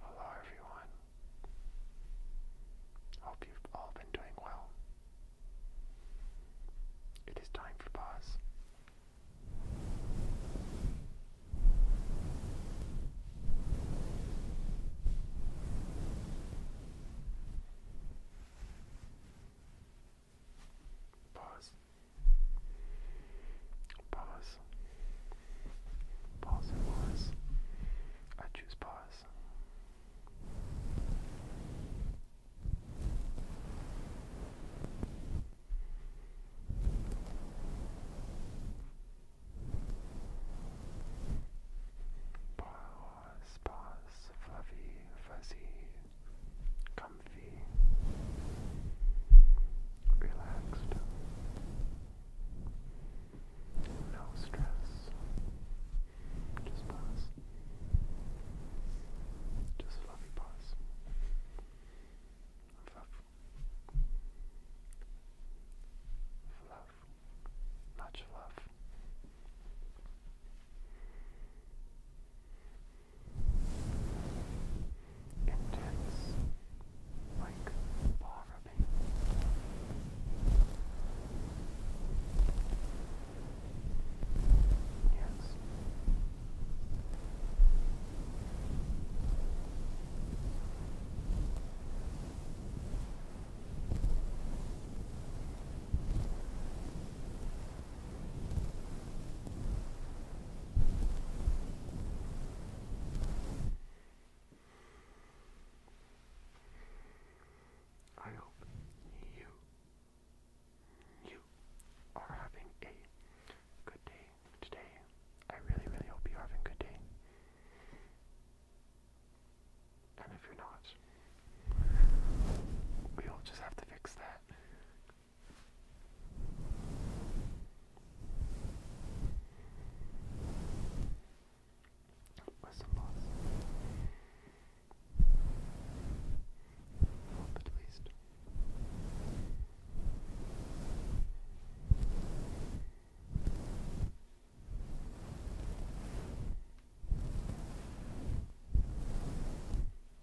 Hello, everyone. Hope you've all been doing well. It is time for pause. Pause. Pause. Pause pause. I choose pause. Pause, pause, fluffy, fuzzy. Come relaxed, no stress, just pause, just fluffy pause, fluff, fluff, much fluff intense, like paw Yes. I hope you you are having a good day today. I really, really hope you're having a good day. And if you're not, we'll just have to fix that was a loss. at least.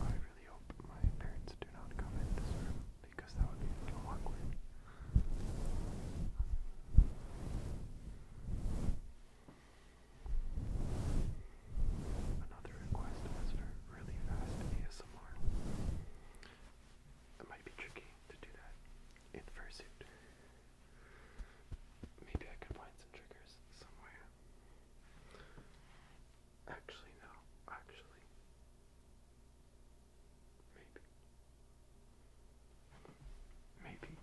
I really hope my parents do not come in this room because that would be a little awkward. Another request was really fast ASMR. It might be tricky to do that in fursuit. Maybe I could find some triggers somewhere. Actually, no. Actually, maybe. Maybe.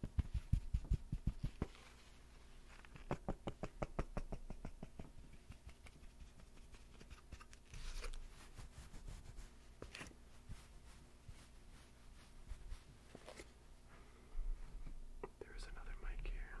There is another mic here.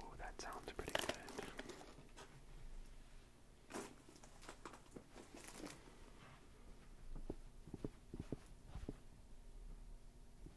Oh, that sounds pretty good.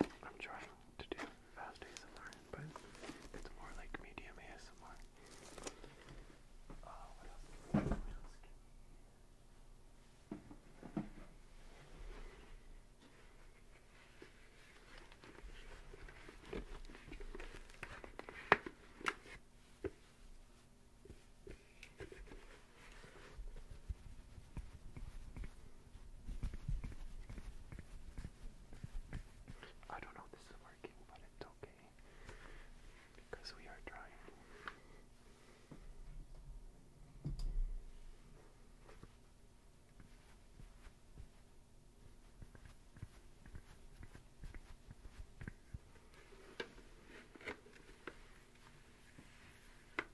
I'm trying to do fast ASMR, but it's more like medium ASMR. Uh, what else? What else I don't know if this is working, but it's okay because we are trying.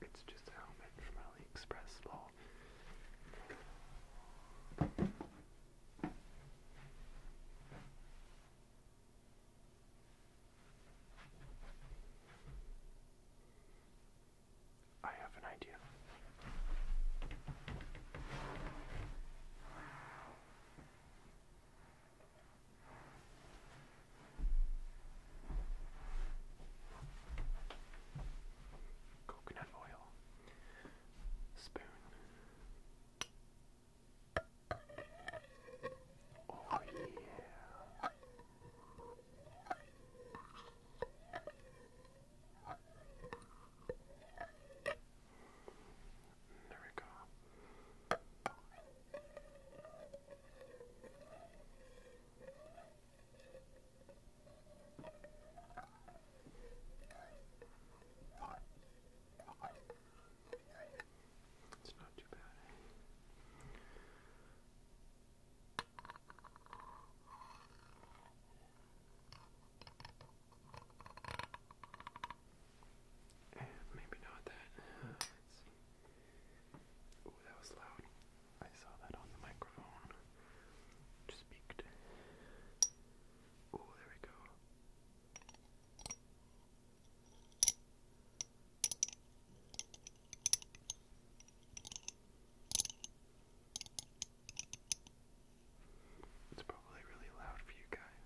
It's just a helmet from AliExpress lol. I have an idea. Coconut oil. Spoon. Oh yeah. There we go. It's not too bad. Eh? Maybe not that. Uh, let's see. Ooh, that was loud. I saw that on the microphone. Just peeked. Ooh, there we go. It's probably really loud for you guys.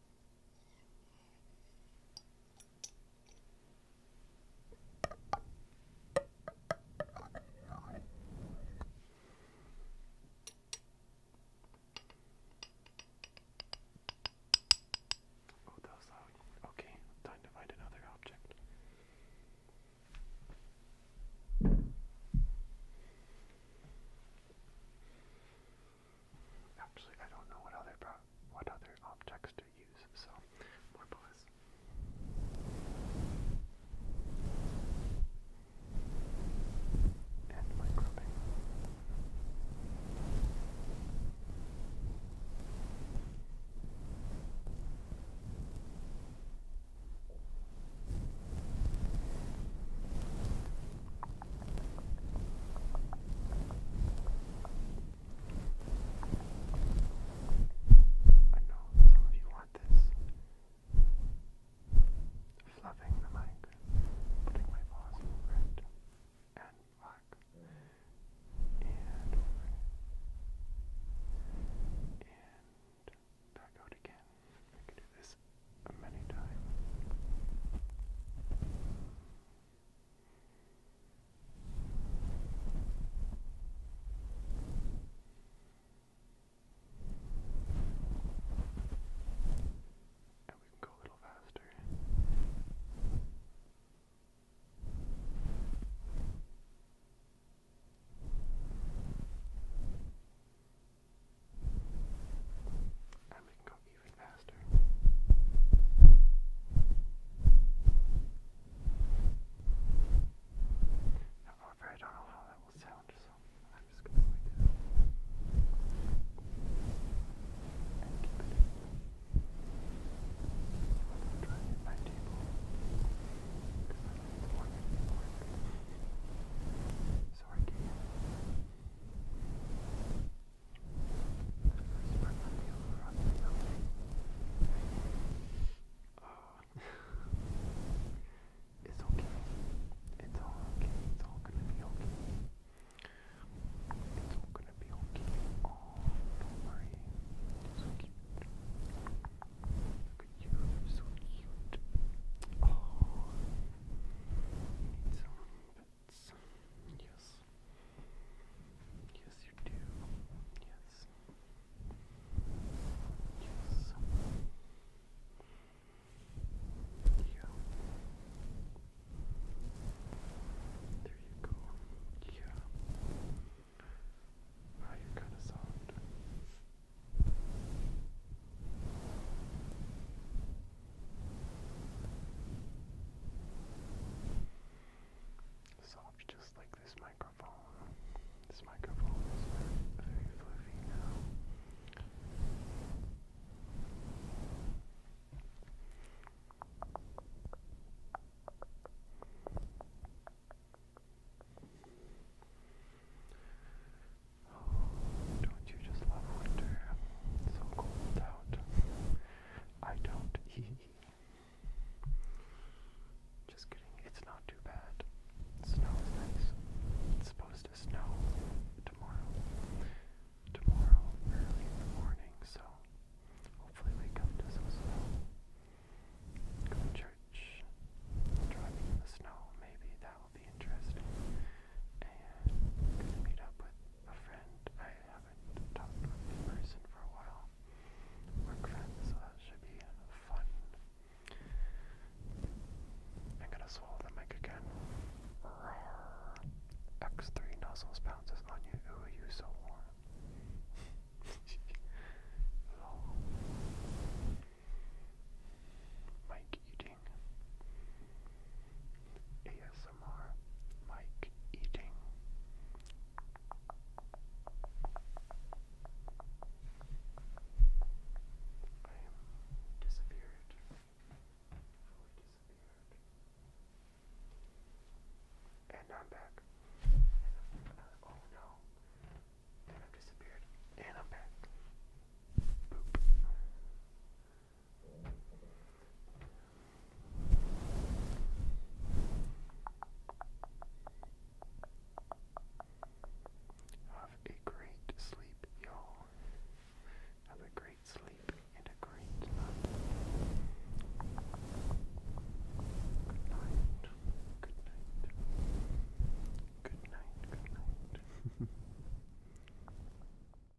Oh, that was loud. Okay, time to find another object. Actually, I don't know what other what other objects to use. So, more pause. And my I know some of you want this. Fluffing the mic, putting my paws over it, and back, and over it, and back out again. I can do this many times. And we can go a little faster. And we can go even faster. Now, however, I don't know how that will sound, so I'm just going to play this and keep it in. I'm trying at my table because I like the one so I can. Oh. it's okay. It's all okay. It's all gonna be okay. It's all gonna be okay. don't worry. you so cute. so cute. Oh. You need Yes. Yes, you do. Yes. Yes. Yeah. There you go. Yeah. Now you kind of soft. Soft just like this microphone. This microphone is very, fluffy now. Oh, don't you just love winter? so cold out. I don't. Just kidding. It's not too bad. Snow supposed to snow tomorrow. Tomorrow, early in the morning, so hopefully wake up to some snow. Go to church. Driving in the snow, maybe that will be interesting. And gonna meet up with a friend I haven't talked with in person for a while. Work friends, so that should be fun. I'm gonna swallow the mic again. Roar. X3 nozzles bounces on you. Ooh, you so warm. Mike, you ASMR Mike eating. I am disappeared. Fully disappeared. I'm And I'm, uh, oh no. And I've disappeared. And I'm back. Have a great sleep, y'all. Have a great sleep and a great night. Good night. Good night. Good night. Good night.